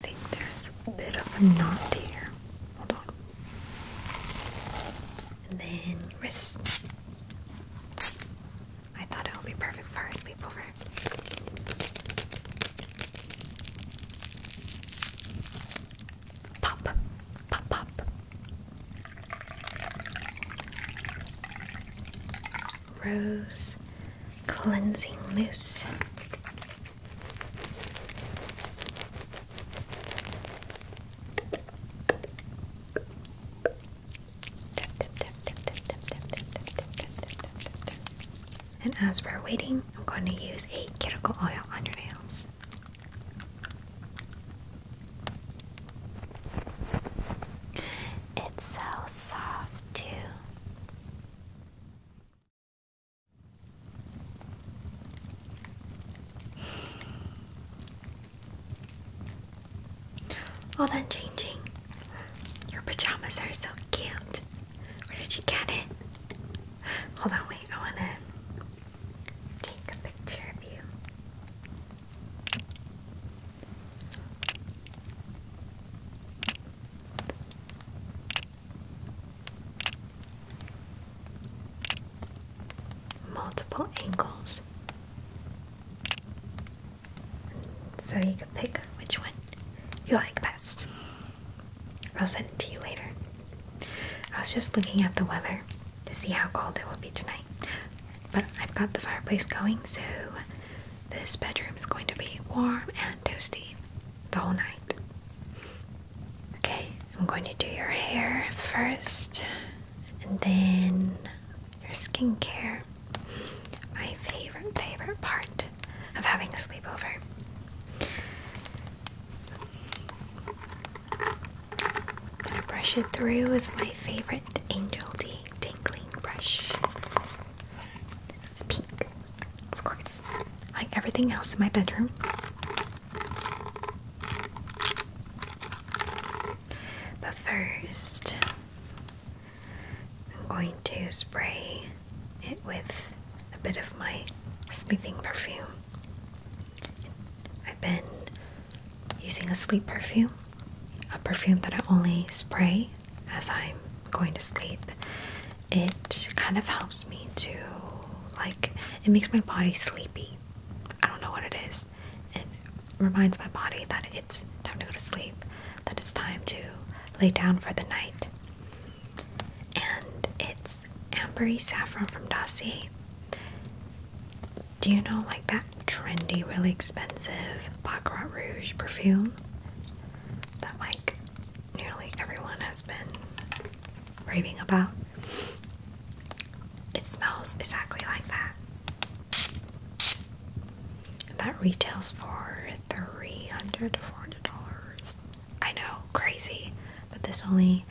I think there's a bit of a knot here. Hold on. And then wrist. I thought it would be perfect for a sleepover. Pop, pop, pop. Rose cleansing mousse. And as we're waiting, I'm going to use a cuticle oil on your nails. It's so soft, too. All done changing. Your pajamas are so cute. Where did you get it? Hold on, wait. I want to take a picture of you multiple angles. So you can pick which one you like best. I'll send it to you later. I was just looking at the weather to see how cold it will be tonight. But I've got the fireplace going, so this bedroom is going to be warm and toasty the whole night. Okay, I'm going to do your hair first and then your skincare. My favorite, favorite part of having a sleepover. I brush it through with my favorite angel tea tingling brush. It's pink, of course, like everything else in my bedroom. But first, I'm going to spray it with a bit of my sleeping perfume. I've been using a sleep perfume, a perfume that I only spray as I'm going to sleep, it kind of helps me to like it makes my body sleepy. I don't know what it is. It reminds my body that it's time to go to sleep, that it's time to lay down for the night. And it's ambery saffron from Dossier. Do you know like that trendy, really expensive Baccarat Rouge perfume? that like nearly everyone has been raving about. It smells exactly like that. that retails for three hundred to four hundred dollars. I know, crazy, but this only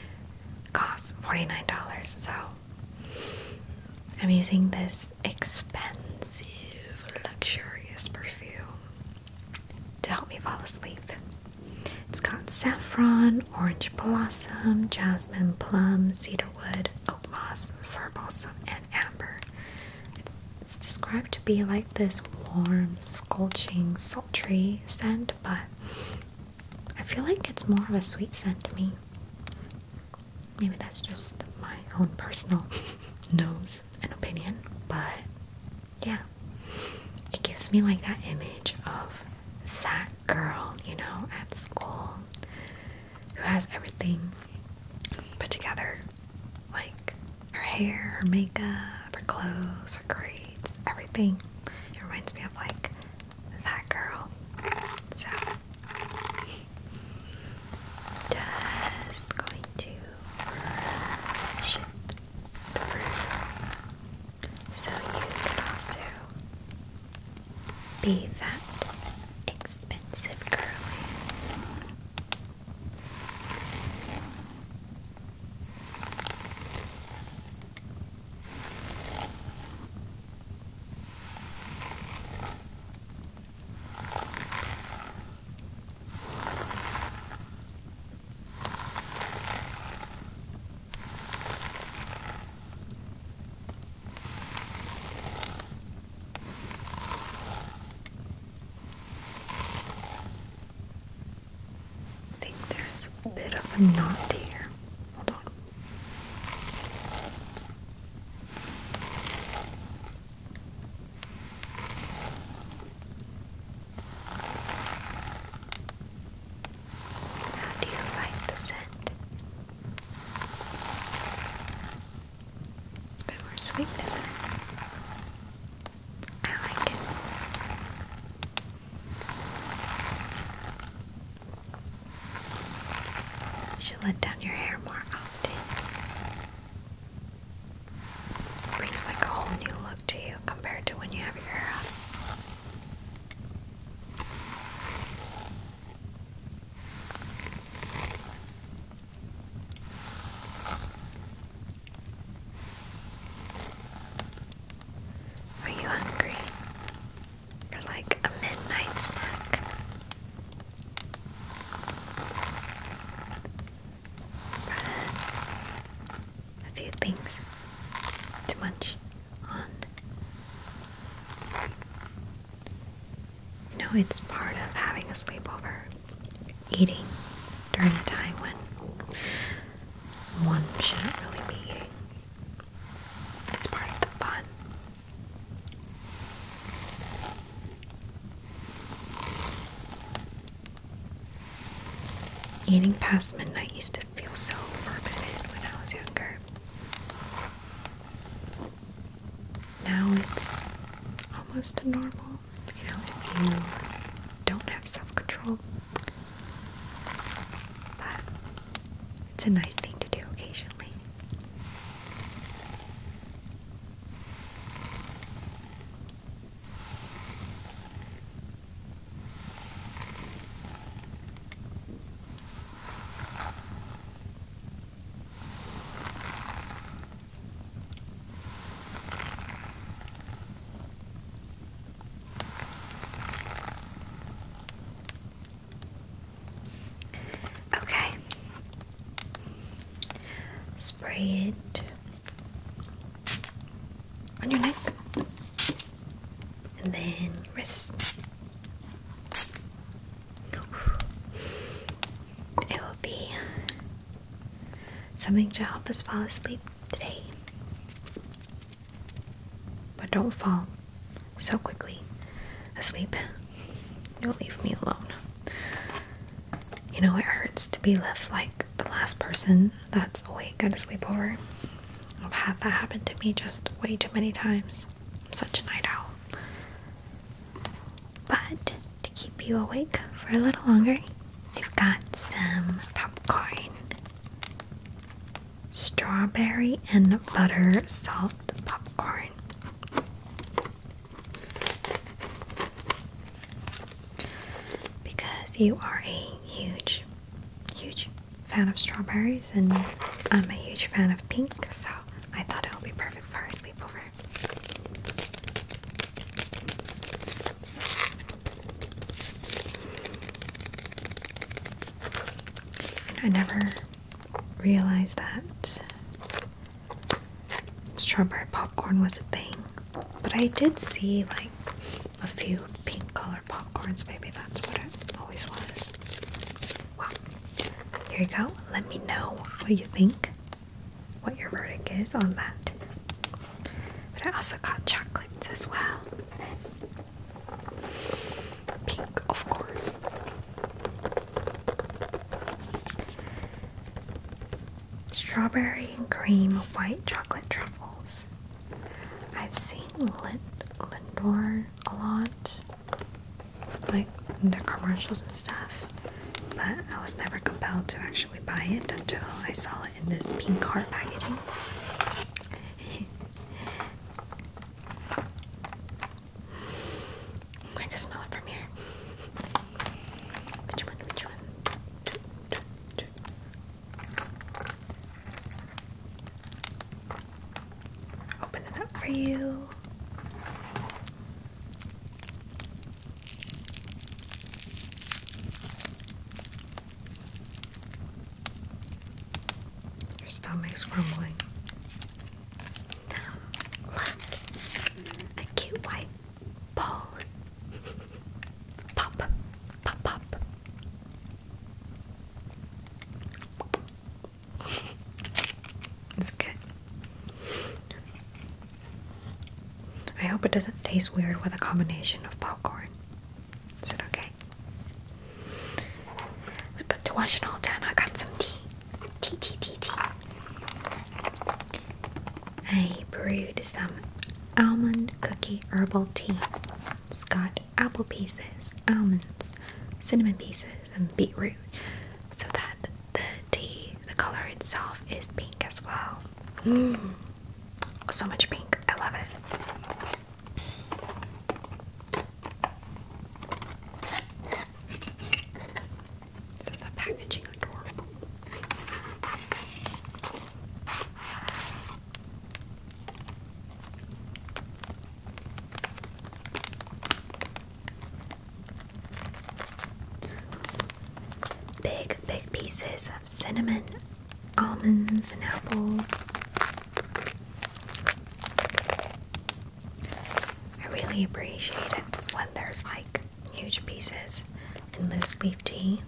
costs forty nine dollars. So I'm using this expensive, luxurious perfume to help me fall asleep. It's got saffron, orange blossom, jasmine, plum, cedarwood, oak moss, fir balsam, and amber. It's, described to be like this warm, scorching, sultry scent, but I feel like it's more of a sweet scent to me. Maybe that's just my own personal nose an opinion, but yeah, it gives me like that image of that girl, you know, at school who has everything put together like her hair, her makeup, her clothes, her grades, everything. It reminds me of like that girl. So, just going to so you can also be that expensive girl. I think there's a bit of a knot here. Hold on. How do you like the scent? It's a bit more sweet, isn't it? I like it. You should let down your hair more often brings like a whole new look to you compared to when you have your hair out. Are you hungry? For like a midnight snack? a few things to munch on. You know, it's part of having a sleepover, eating during a time when one shouldn't really be eating. It's part of the fun. Eating past midnight used to feel so forbidden when I was younger. Now it's almost normal, you know, if you don't have self control. But it's a nice thing to do occasionally. Okay. Spray it on your neck and then wrist. It will be something to help us fall asleep today. But don't fall so quickly asleep. Don't leave me alone you know, it hurts to be left like the last person that's awake at a sleepover. I've had that happen to me just way too many times. I'm such a night owl. But to keep you awake for a little longer, I've got some popcorn. Strawberry and butter salt popcorn because you are a huge, huge fan of strawberries, and I'm a huge fan of pink, so I thought it would be perfect for a sleepover. I never realized that strawberry popcorn was a thing. But I did see like a few pink colored popcorns. Maybe that's what it always was. Wow. Here you go. Let me know what you think, what your verdict is on that. But I also got chocolates as well. Pink, of course strawberry and cream white chocolate truffles. I've seen Lindor a lot, like their commercials and stuff, but I was never compelled to actually buy it until I saw it in this pink heart packaging. I can smell it from here. Which one? Which one? Open it up for you. Your stomach's grumbling. Look, a cute white ball Pop, pop, pop. It's good. I hope it doesn't taste weird with a combination of popcorn. Is it okay? But to wash it all down, I got some tea. Tea, tea, tea, tea. I brewed some almond cookie herbal tea. It's got apple pieces, almonds, cinnamon pieces, and beetroot so that the tea, the color itself, is pink as well. Mm. So much pink. I love it. the packaging adorable. Big, big pieces of cinnamon, almonds, and apples. I really appreciate it when there's like huge pieces and loose leaf tea,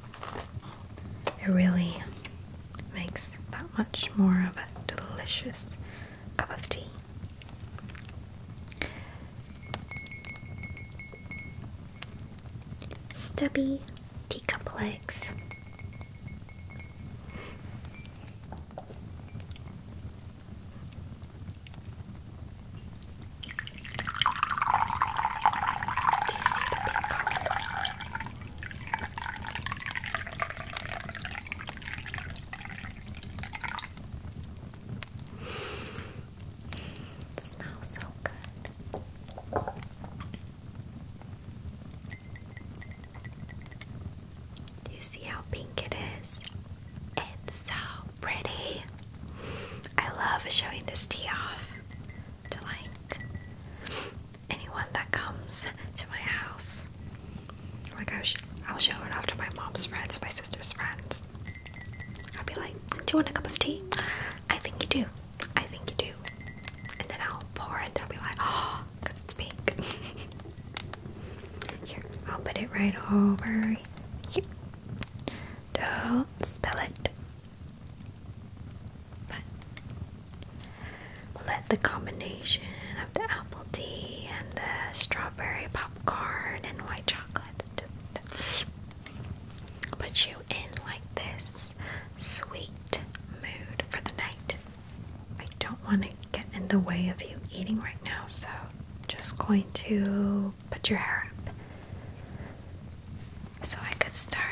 it really makes that much more of a delicious cup of tea. Stubby tea cup legs smells so good. Do you see how pink it is? It's so pretty. I love showing this tea off to like anyone that comes to my house. Like I'll, I'll show it off to my mom's friends, my sister's friends. I'll be like, "Do you want a cup of tea?" I think you do. I think you do. And then I'll pour it. They'll be like, "Oh, it's pink." Here, I'll put it right over here. Don't spill it. But let the combination of the apple tea and the strawberry popcorn and white chocolate put you in like this sweet mood for the night. I don't want to get in the way of you eating right now, so just going to put your hair up so I could start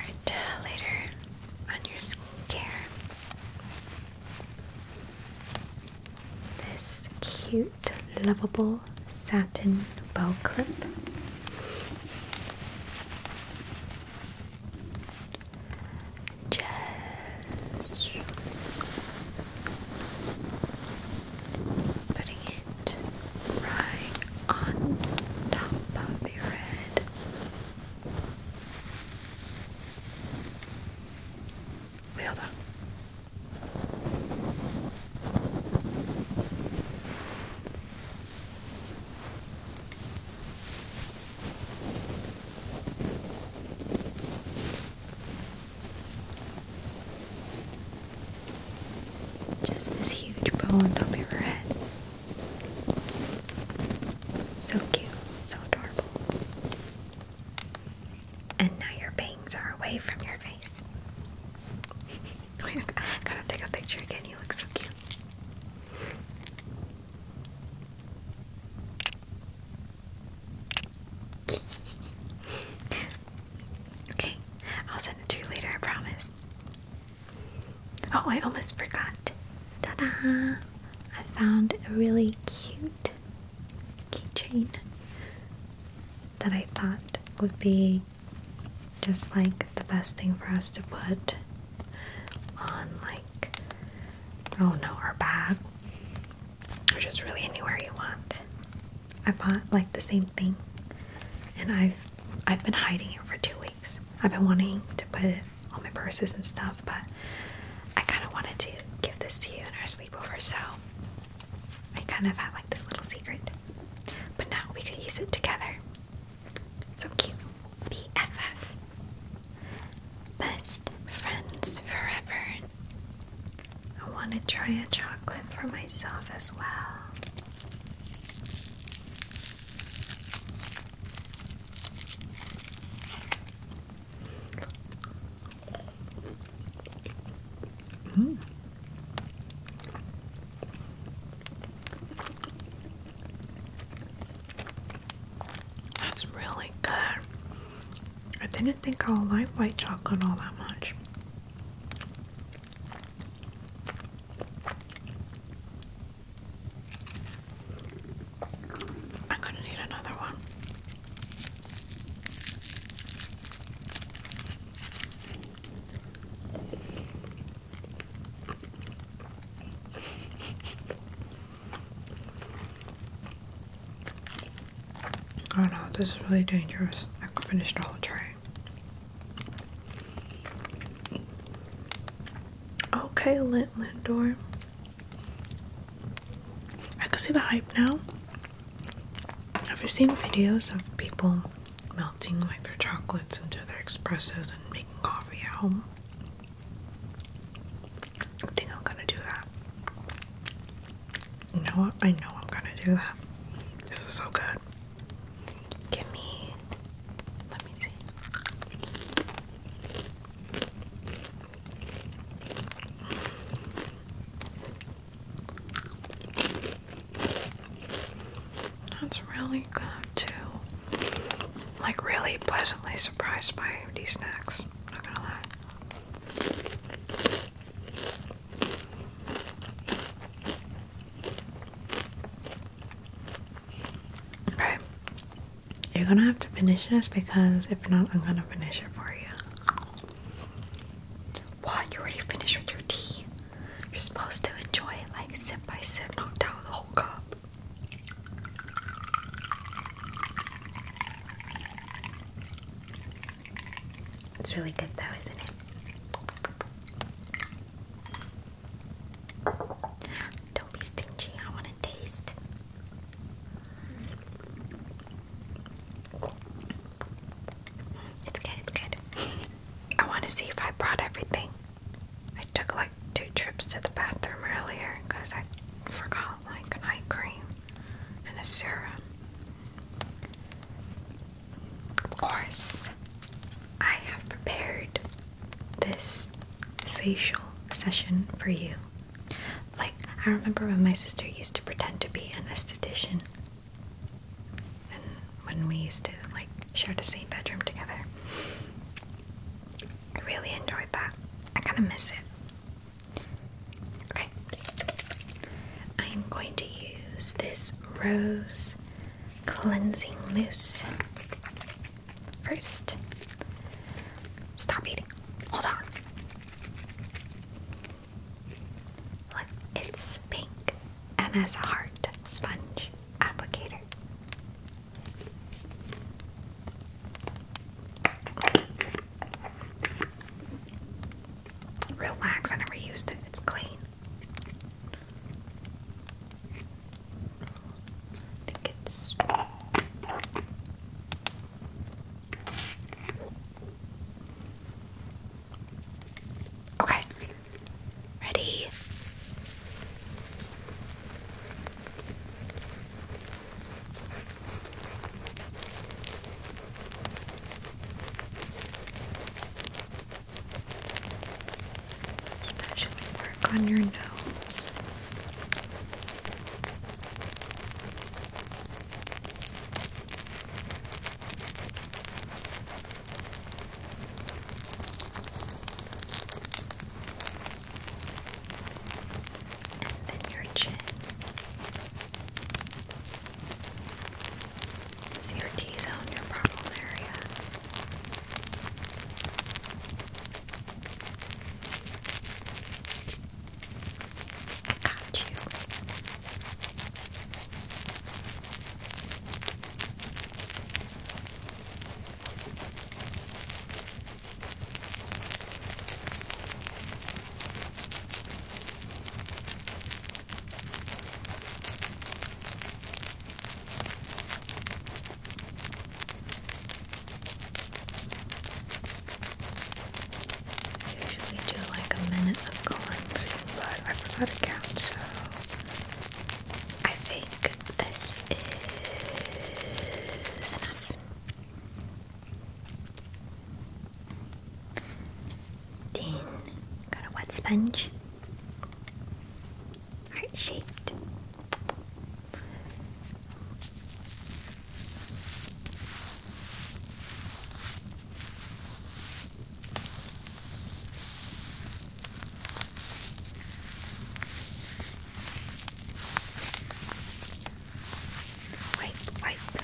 later on your skincare. This cute, lovable satin bow clip. Just putting it right on top of your head. hold on. Just this huge bow on top of her head. So cute, so adorable. And now your bangs are away from your face. Wait, I gotta take a picture again. You look so cute. okay, I'll send it to you later, I promise. Oh, I almost forgot. Ta da! I found a really cute keychain that I thought would be just like the best thing for us to put on, like, oh no, our bag or just really anywhere you want. I bought like the same thing and I've I've been hiding it for two weeks. I've been wanting to put it on my purses and stuff, but I kind of wanted to give this to you in our sleepover, so I kind of had like this little secret. But now we could use it together. So cute. BFF. Best friends forever. I want to try a chocolate for myself as well. Mm. That's really good. I didn't think I'll like white chocolate all that much. I'm gonna need another one. Oh no, this is really dangerous. I finished all the tray. Okay, Lint Lindor. I can see the hype now. Have you seen videos of people melting like their chocolates into their espressos and making coffee at home? I think I'm gonna do that. No, I know I'm gonna do that. This is so good. Give me. Let me see. That's really good too. Like really pleasantly surprised by these snacks. Not gonna lie. Okay. You're gonna have to finish this because if not, I'm gonna finish it for you. What? You already finished with your tea? You're supposed to enjoy it like sip by sip, not down the whole cup. It's really good though, isn't it? Don't be stingy, I want to taste. It's good, it's good. I want to see if I brought everything. I took like two trips to the bathroom earlier because I forgot like an eye cream and a serum. Of course, I have prepared this facial session for you. Like, I remember when my sister used to pretend to be an esthetician, and when we used to, like, share the same bedroom together. I really enjoyed that. I kind of miss it. Okay. I'm going to use this rose cleansing mousse. First, stop eating. Hold on. Look, it's pink and has a heart sponge applicator. Relax, I never used it. It's clean. I think it's Okay. Ready? Especially work on your nose. And then your chin. See your T-zone, your problem area. I got you. I usually do like a minute of cleansing, but I forgot to count, so I think this is enough. Then, got a wet sponge heart shaped. Wipe, wipe.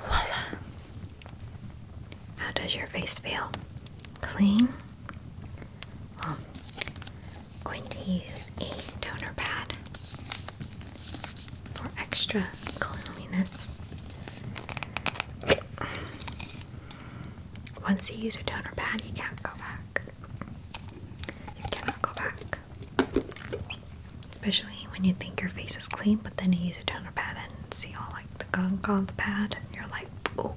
Voila! How does your face feel? Clean? Well, I'm going to use a toner pad for extra cleanliness. Once you use a toner pad, you can't go back. You cannot go back. Especially when you think your face is clean, but then you use a toner pad and see all like the gunk on the pad, and you're like, oh.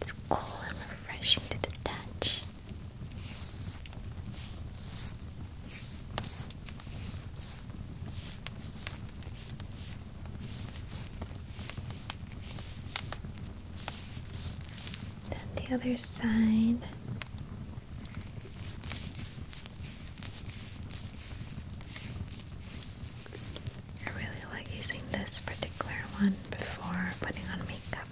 It's cool and refreshing to the the other side. I really like using this particular one before putting on makeup.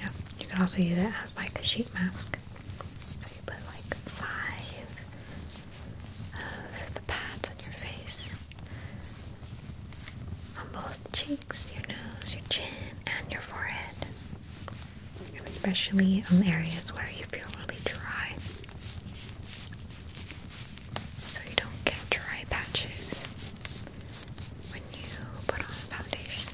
Yeah, you can also use it as like a sheet mask put like five of the pads on your face, on both cheeks, your nose, your chin, and your forehead, and especially on areas where you feel really dry, so you don't get dry patches when you put on foundation.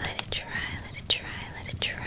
Let it try, let it try, let it try.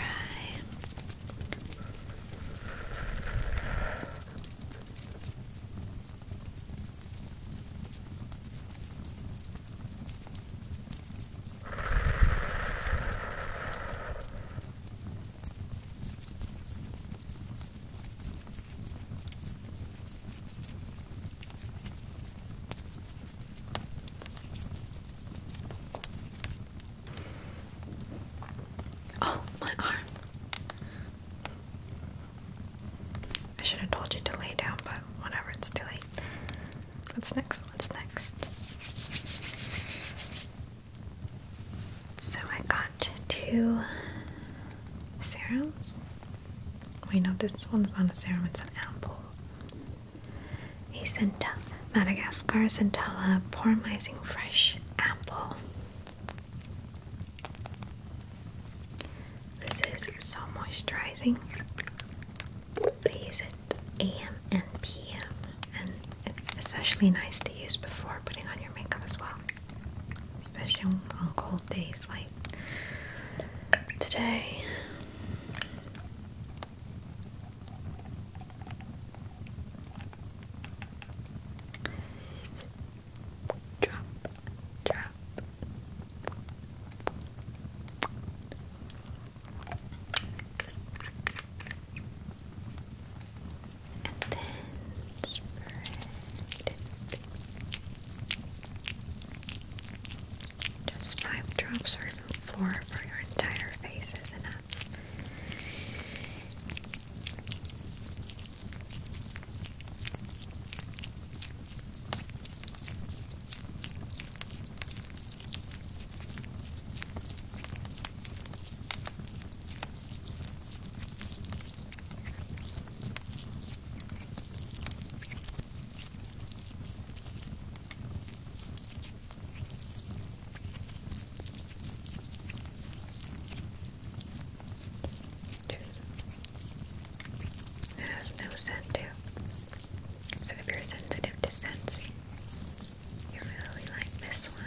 Oh, my arm. I should have told you to lay down, but whatever, it's too late. What's next? What's next? So I got two serums. We know this one's not a serum, it's an ampoule. A Centella, Madagascar Centella Poramizing Fresh Ampoule. This is so moisturizing. I use it AM and PM, and it's especially nice to use before putting on your makeup as well, especially on, cold days like today. Drop, drop. And then spread Just five drops or even four for your entire face is enough. It has no scent too. So if you're sensitive to sensing, you really like this one.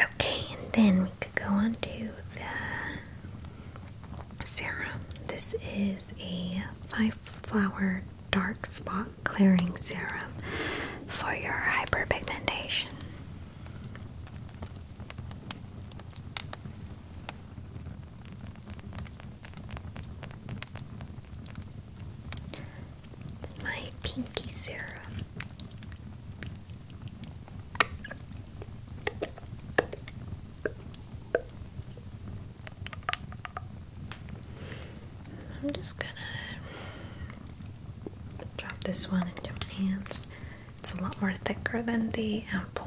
Okay, and then we could go on to the serum. This is a five flower dark spot clearing serum for your hyperpigmentation. It's my pinky serum. I'm just gonna drop this one into my hands. It's a lot more thicker than the apple.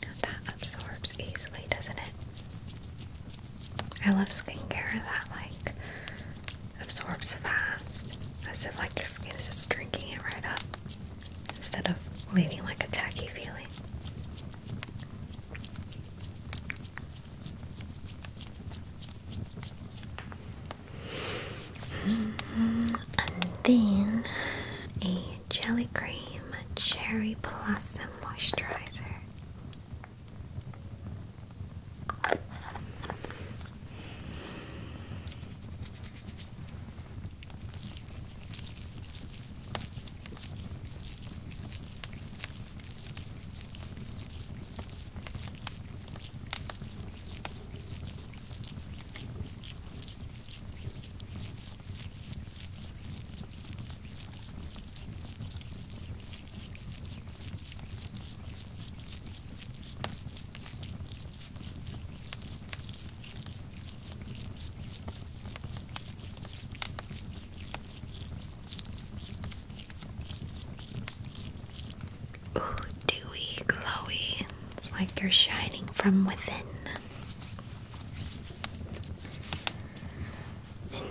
That absorbs easily, doesn't it? I love skincare that like absorbs fast. As if like your skin is just drinking it right up instead of leaving like a tacky feeling. And then a Jelly Cream Cherry Blossom Moisturizer. Ooh, dewy, glowy. It's like you're shining from within. And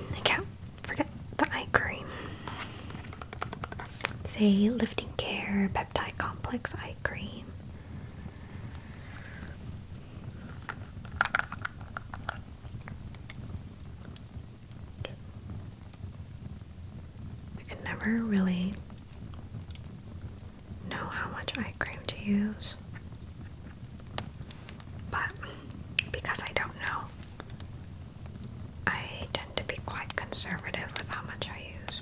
forget the eye cream. It's lifting care peptide complex eye cream. I can never really know how much eye cream to use, but because I don't know, I tend to be quite conservative with how much I use.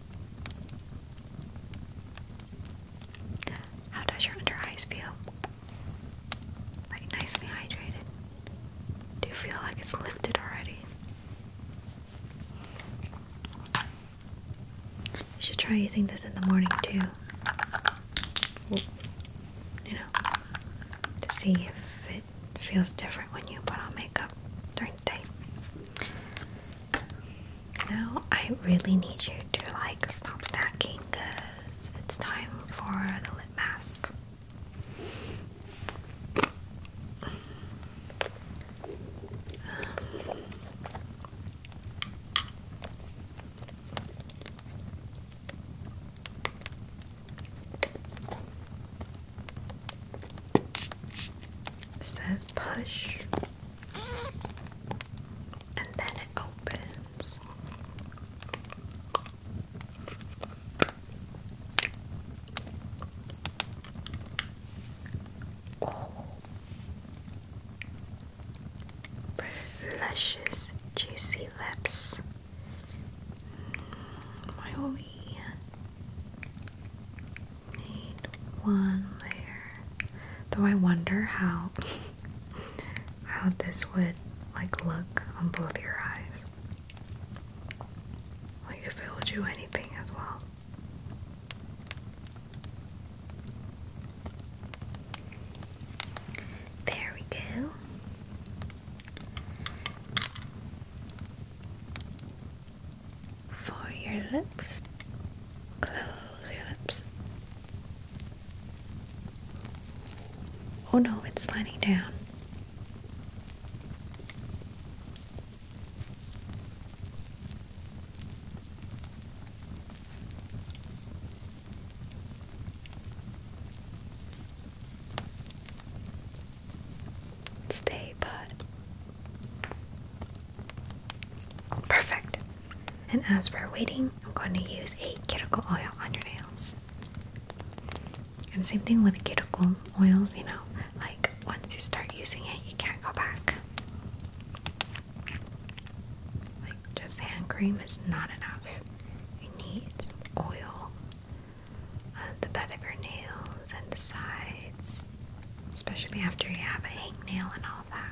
How does your under eyes feel? Like you nicely hydrated? Do you feel like it's lifted already? You should try using this in the morning too. You know, to see if it feels different when you put on makeup during the day. Now I really need you to like stop snacking because it's time for the lip mask. It says push, and then it opens. Oh, luscious, juicy lips. Mm, why one layer. Though I wonder how how this would like look on both your eyes. Like if it would do anything as well. There we go for your lips. Close your lips. Oh no, it's sliding down stay put. Perfect. And as we're waiting, I'm going to use a cuticle oil on your nails. And same thing with cuticle oils, you know, like once you start using it, you can't go back. Like just hand cream is not enough. You need oil on uh, the bed of your nail and the sides, especially after you have a hangnail and all that.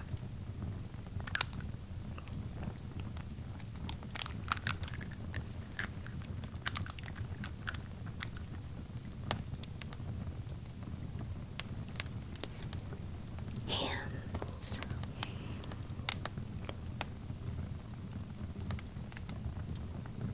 Hands.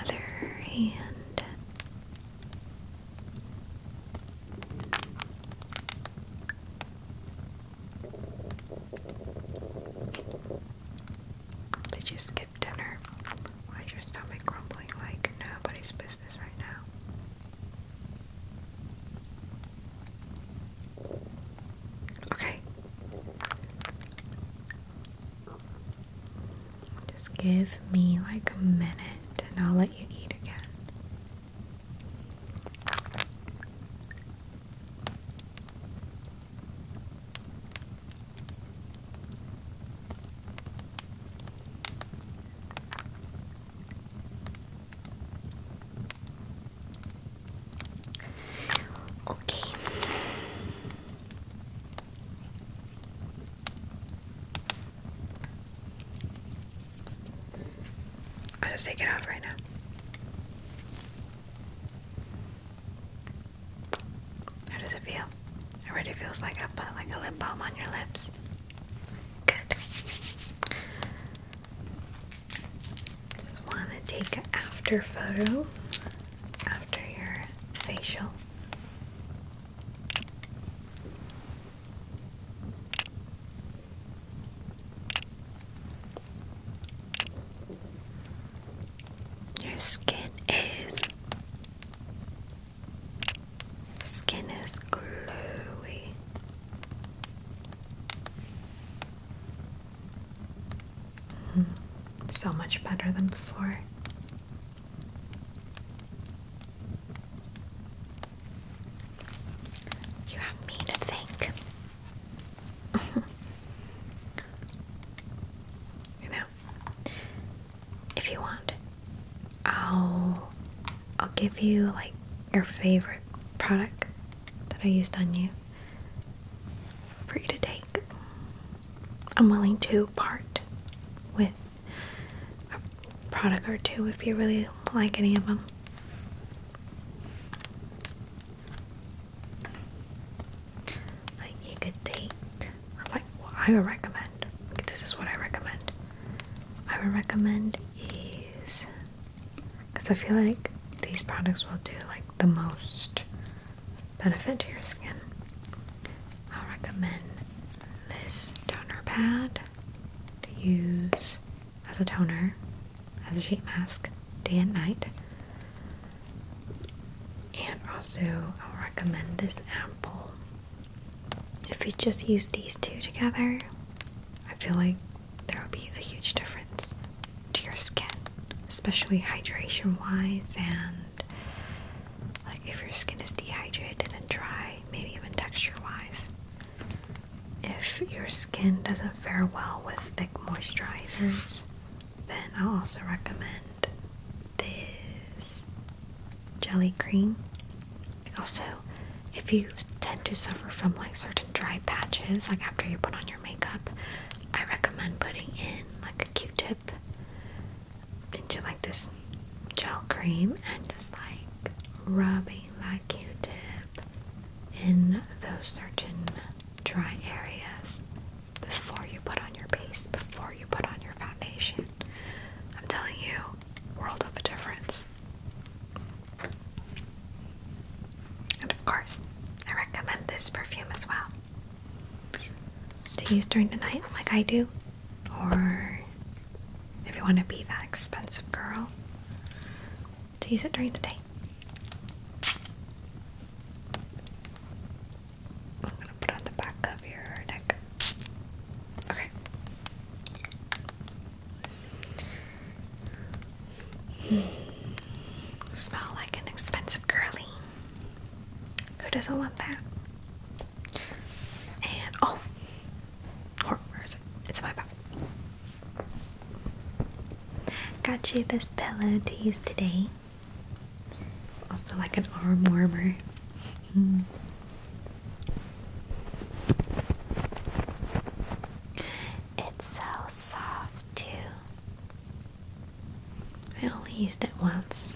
Other hand. Did you skip dinner? Why is your stomach grumbling like nobody's business right now? Okay. Just give me like a minute and I'll let you eat again. Okay. i am just taking it off right now. How does it feel? It already feels like I put like a lip balm on your lips. Good. Just want to take an after photo after your facial. Your skin is skin is glowy. Hmm. so much better than before. You have me to think. you know, if you want, I'll I'll give you like your favorite product that I used on you for you to take. I'm willing to part with a product or two if you really like any of them. Like you could take, like I would recommend. This is what I recommend. I would recommend is because I feel like these products will do like the most benefit to your skin. I'll recommend this toner pad to use as a toner, as a sheet mask, day and night. And also, I'll recommend this ampoule. If you just use these two together, I feel like there will be a huge difference to your skin, especially hydration wise. And like if your skin is dehydrated and dry, maybe even texture wise. If your skin doesn't fare well with thick moisturizers, then i also recommend this jelly cream. Also, if you tend to suffer from like certain dry patches, like after you put on your makeup, I recommend putting in like a Q-tip into like this gel cream and just like rubbing that Q-tip in those certain dry areas before you put on your base, before you put on your foundation. I'm telling you, world of a difference. And of course, I recommend this perfume as well to use during the night, like I do, or if you want to be that expensive girl, to use it during the day. I'm gonna put on the back of your neck. Okay. Hmm. Smell like an expensive girly. Who doesn't want that? And oh, where is it? It's in my bag. Got you this pillow to use today. Also, like an arm warmer. Mm. It's so soft, too. I only used it once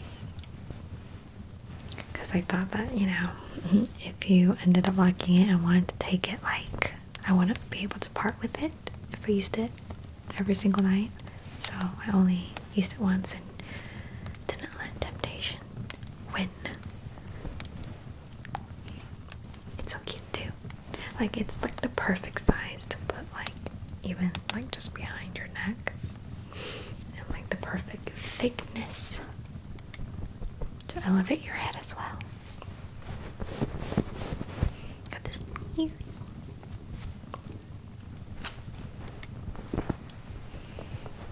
because I thought that, you know, if you ended up liking it and wanted to take it, like, I wouldn't be able to part with it if I used it every single night. So I only used it once and didn't let temptation win. It's so cute too. Like it's like the perfect size to put like even like just behind your neck. And like the perfect thickness to elevate your head as well. Got this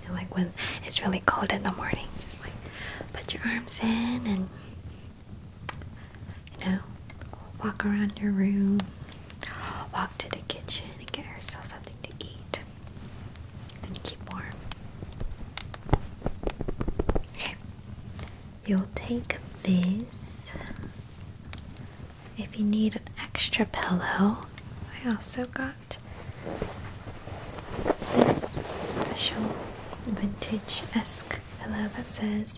And like when it's really cold in the morning, just like put your arms in and you know walk around your room walk to the kitchen and get yourself something to eat and keep warm okay you'll take this if you need an extra pillow I also got this special vintage-esque pillow that says,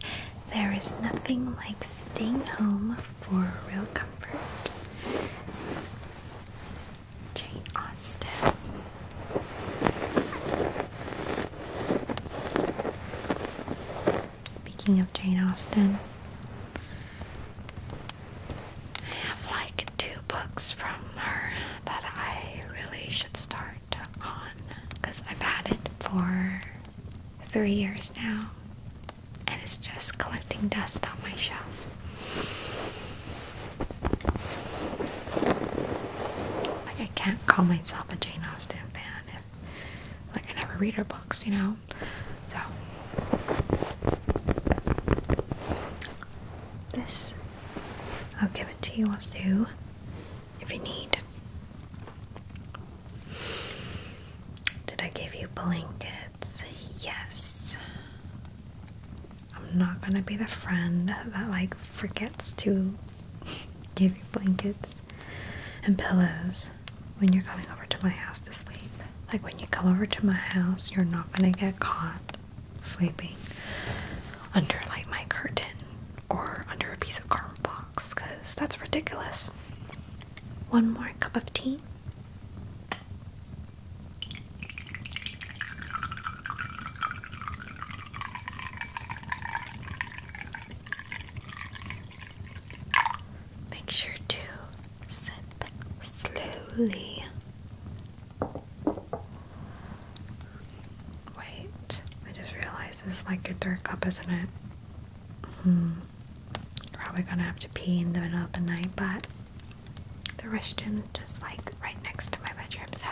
there is nothing like staying home for real comfort. Jane Austen. Speaking of Jane Austen, I have like two books from her that I really should start on because I've had it for three years now and it's just collecting dust on my shelf. Like I can't call myself a Jane Austen fan if like I never read her books, you know? So this I'll give it to you all too if you need. Did I give you blankets? Yes. I'm not gonna be the friend that like forgets to give you blankets and pillows when you're coming over to my house to sleep. Like when you come over to my house, you're not gonna get caught sleeping under like my curtain or under a piece of cardboard box because that's ridiculous. One more cup of tea. Make sure to sip slowly Wait, I just realized this is like your third cup, isn't it? Hmm. Probably gonna have to pee in the middle of the night, but the restroom is just like right next to my bedroom, so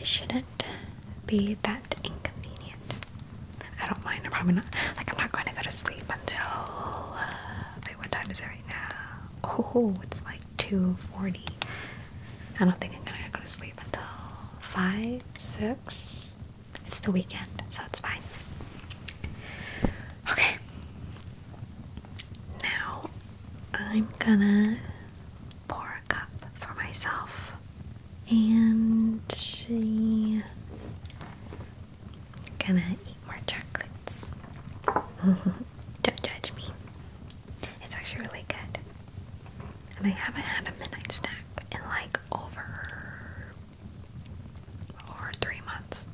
it shouldn't be that inconvenient. I don't mind. I'm probably not like I'm not going to go to sleep until. Uh, wait, what time is it right now? Oh, it's like 2.40. I don't think I'm gonna go to sleep until 5, 6. It's the weekend, so it's fine. Okay. Now, I'm gonna pour a cup for myself. And gonna eat more chocolates. Don't judge me. It's actually really good. And I haven't had a midnight snack in like over over three months.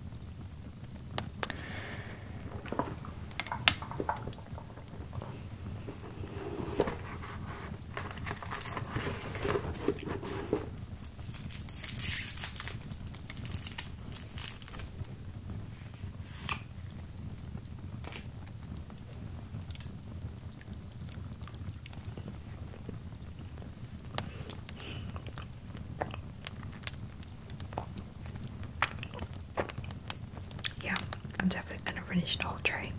Yeah, I'm definitely gonna finish the whole tray.